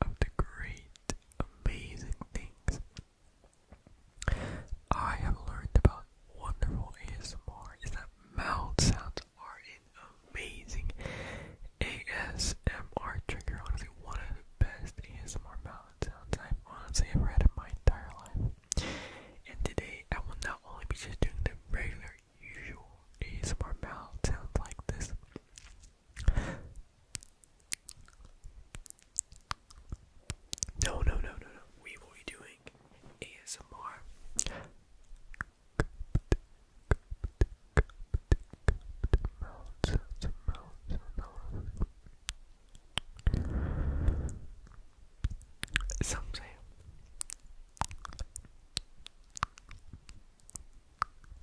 One of the great, amazing things I have learned about wonderful ASMR is that mouth sounds are an amazing ASMR trigger. Honestly, one of the best ASMR mouth sounds I've honestly ever had in my entire life. And today, I will not only be just doing the regular, usual ASMR mouth sounds like this, no, no, no, no, no. We will be doing ASMR.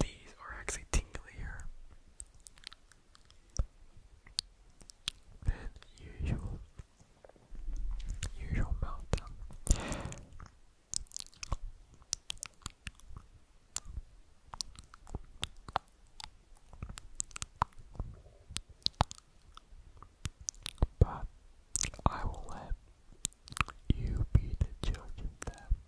These are actually tinglier than usual usual meltdown. But I will let you be the judge of them.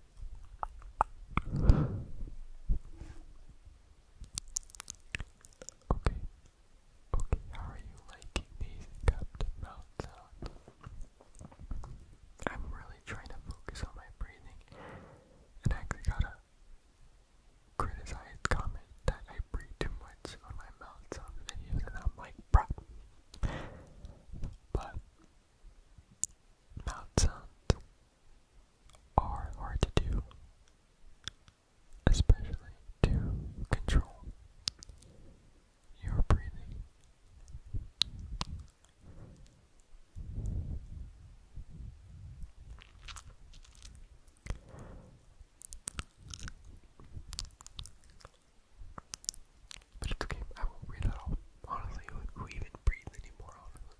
Okay. Okay, how are you liking these cupped mouth I'm really trying to focus on my breathing and actually got a criticized comment that I breathe too much on my mouth videos and I'm like bruh. But mouth are hard to do, especially to control your breathing. But it's okay, I won't read it all. Honestly, who, who even breathes anymore? Honestly.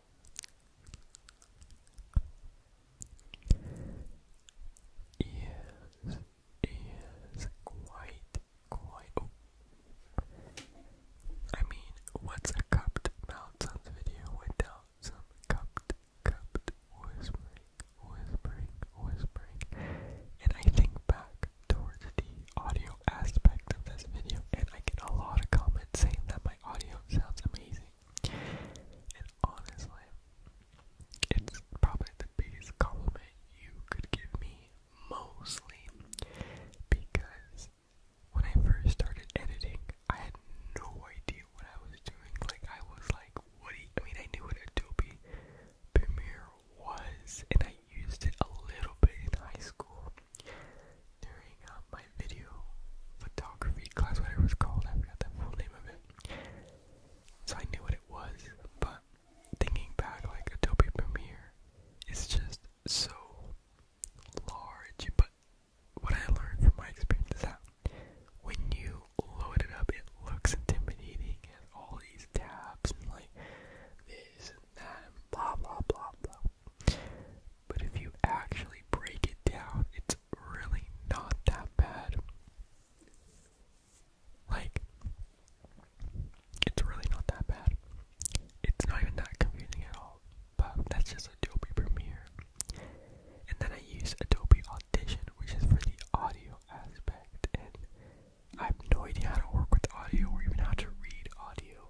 Yes, yes, quite, quite. Oh. I mean, what's a cupped Maltons video without some cupped, cupped whispering, whispering, whispering? And I think back towards the audio aspect of this video, and I get a lot of comments saying that my audio sounds amazing. And honestly, it's probably the biggest compliment you could give me, mostly because when I first started editing, I had no idea what I was doing. Like, I was like, what do you, I mean, I knew what Adobe Premiere was, and I used it a little bit in high school, during my video photography class, whatever it was called, I forgot the full name of it. So I knew what it was, but thinking back, like Adobe Premiere is just so large. But what I learned from my experience is that when you load it up, it looks intimidating and all these tabs and like this and that and blah blah blah blah. But if you actually break it down, it's really not that bad. Like, it's really not that bad. It's not even that confusing at all. But that's just Adobe Premiere. And then I use Adobe Audition, which is for the audio aspect. And I have no idea how to work with audio or even how to read audio.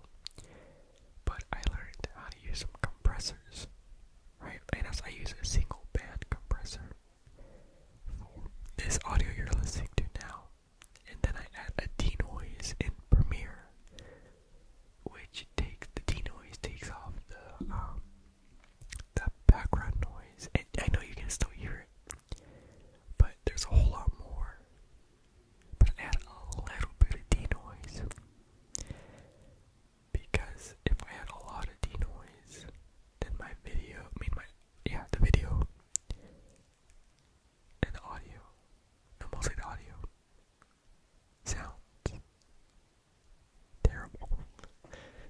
But I learned how to use compressors, right? And as I use a single band compressor for this audio you're listening to now. And then I add a denoise in Premiere, which takes the denoise takes off the um, the background noise. And I know you can still hear it, but there's a whole lot more but add a little bit of D noise. Because if I had a lot of D noise, then my video, I mean my, yeah, the video and the audio, mostly the audio, sounds terrible.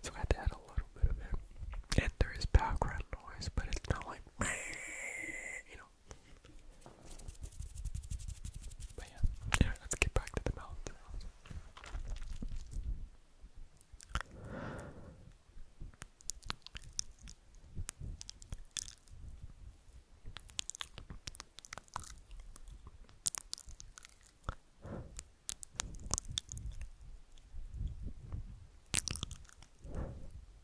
So I had to add a little bit of it. And there is background noise, but it's not like, you know, but yeah, anyway, let's get back to the mouth.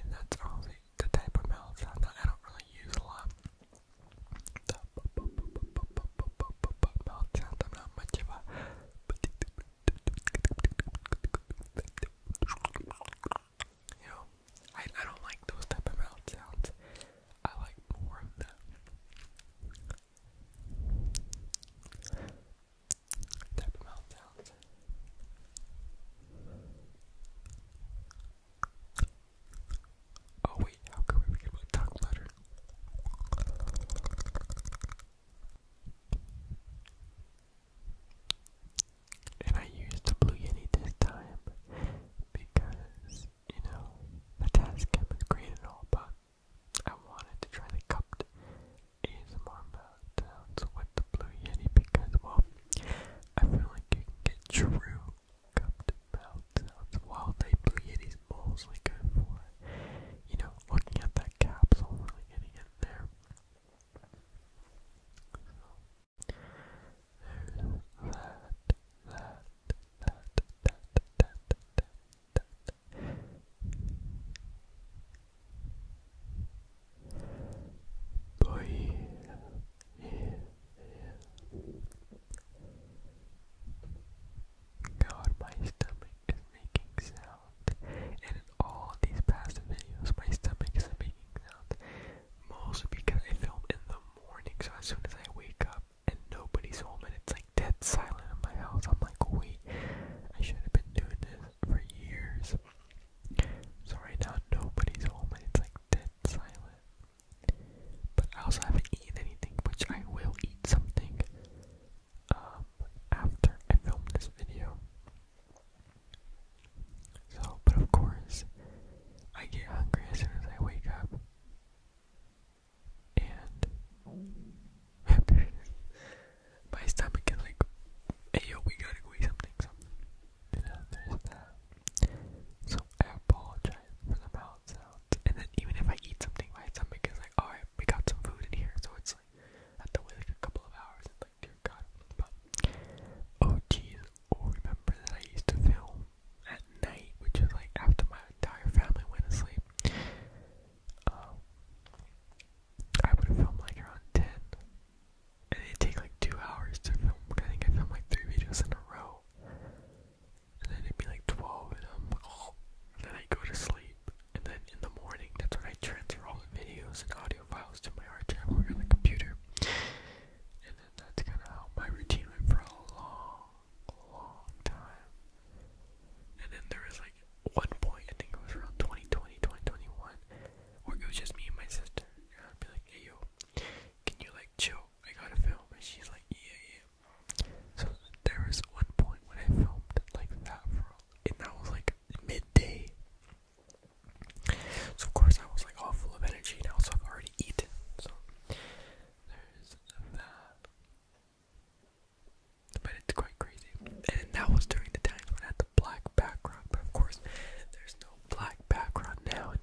And that's all the, type of mouth I don't really use a lot. You know, I I don't like those type of mouth sounds. I like more of that type of mouth sounds. Oh wait, how can we forget about tongue letters? later. And I used the Blue Yeti this time because, you know, the task cap is great and all, but I wanted to try the cupped ASMR meltdowns with the Blue Yeti because, well, I feel like you can get true cupped meltdowns while the Blue Yeti's mostly good for you know, looking at that capsule, really getting in there god, my stomach is making sound. And in all these past videos, my stomach is making sound. Mostly because I film in the morning, so as soon as I wake up and nobody's home and it's like dead silent in my house, I'm like, wait, I should have been doing this for years. So right now nobody's home and it's like dead silent. But I also haven't eaten anything, which I will eat something um, after I film this video. So, but of course, I get hungry as soon as I wake up. And my stomach is like, yo, we gotta eat something, something. You know, that. So I apologize for the mouth and then even if I eat something, my stomach is like, alright, we got some food in here. So it's like, I have to wait like a couple of hours. It's like, dear God. oh jeez, oh, remember that I used to film at night, which is like after my entire family went to sleep. Um, I would film like around 10. And it'd take like two hours to film. I think I filmed like three videos in a row and then it'd be like 12, and I'm then I go to sleep, and then in the morning, that's when I transfer all the videos and audio files to my hard drive on the computer, and then that's kind of how my routine went for a long, long time, and then there was like one point, I think it was around 2020, 2021, where it was just me and my sister, and I'd be like, hey yo, can you like chill? I gotta film, and she's like, yeah, yeah, so there was one point when I filmed like that and that was like midday. So of course I was like all of energy, and also I've already eaten. So there's that. But it's quite crazy. And that was during the times when I had the black background. But of course, there's no black background now anymore.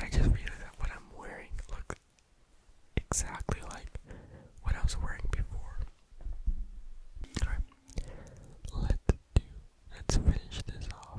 I just realized that what I'm wearing looks exactly like what I was wearing before. Alright. Let's do let's finish this off.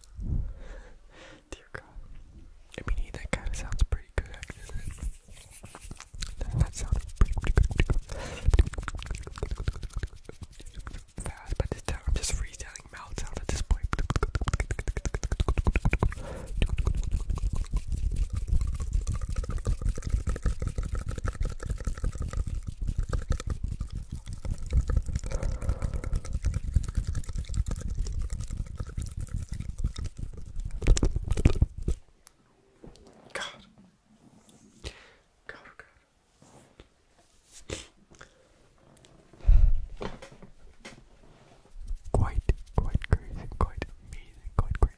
Dear God. I mean, that kind of sounds pretty good, actually, doesn't That, that pretty, Fast, but I'm just freestyling mouth sounds at this point. God. God, God. Quite, quite crazy, quite amazing, quite crazy.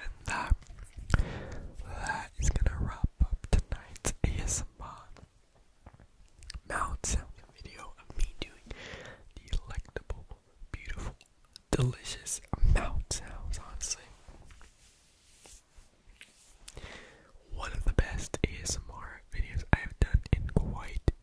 And that, that is gonna wrap tonight's ASMR mouth sound video of me doing delectable, beautiful, delicious mouth sounds, honestly. One of the best ASMR videos I have done in quite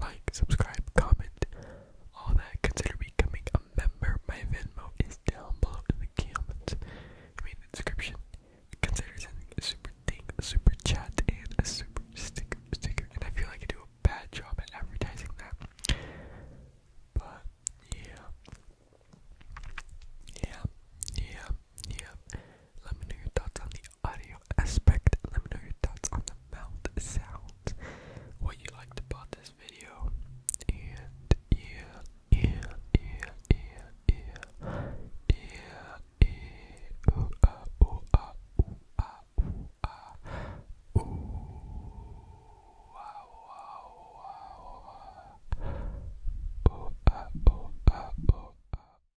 Like, subscribe, comment, all that. Consider becoming a member. My Venmo is down below in the comments. I mean, the description. Consider sending a super thing, a super chat, and a super sticker. Sticker. And I feel like I do a bad job at advertising that. But yeah, yeah, yeah, yeah. Let me know your thoughts on the audio aspect. Let me know your thoughts on the mouth sounds, what you liked about this video, and yeah, yeah, yeah, yeah, yeah, yeah, yeah, ooh,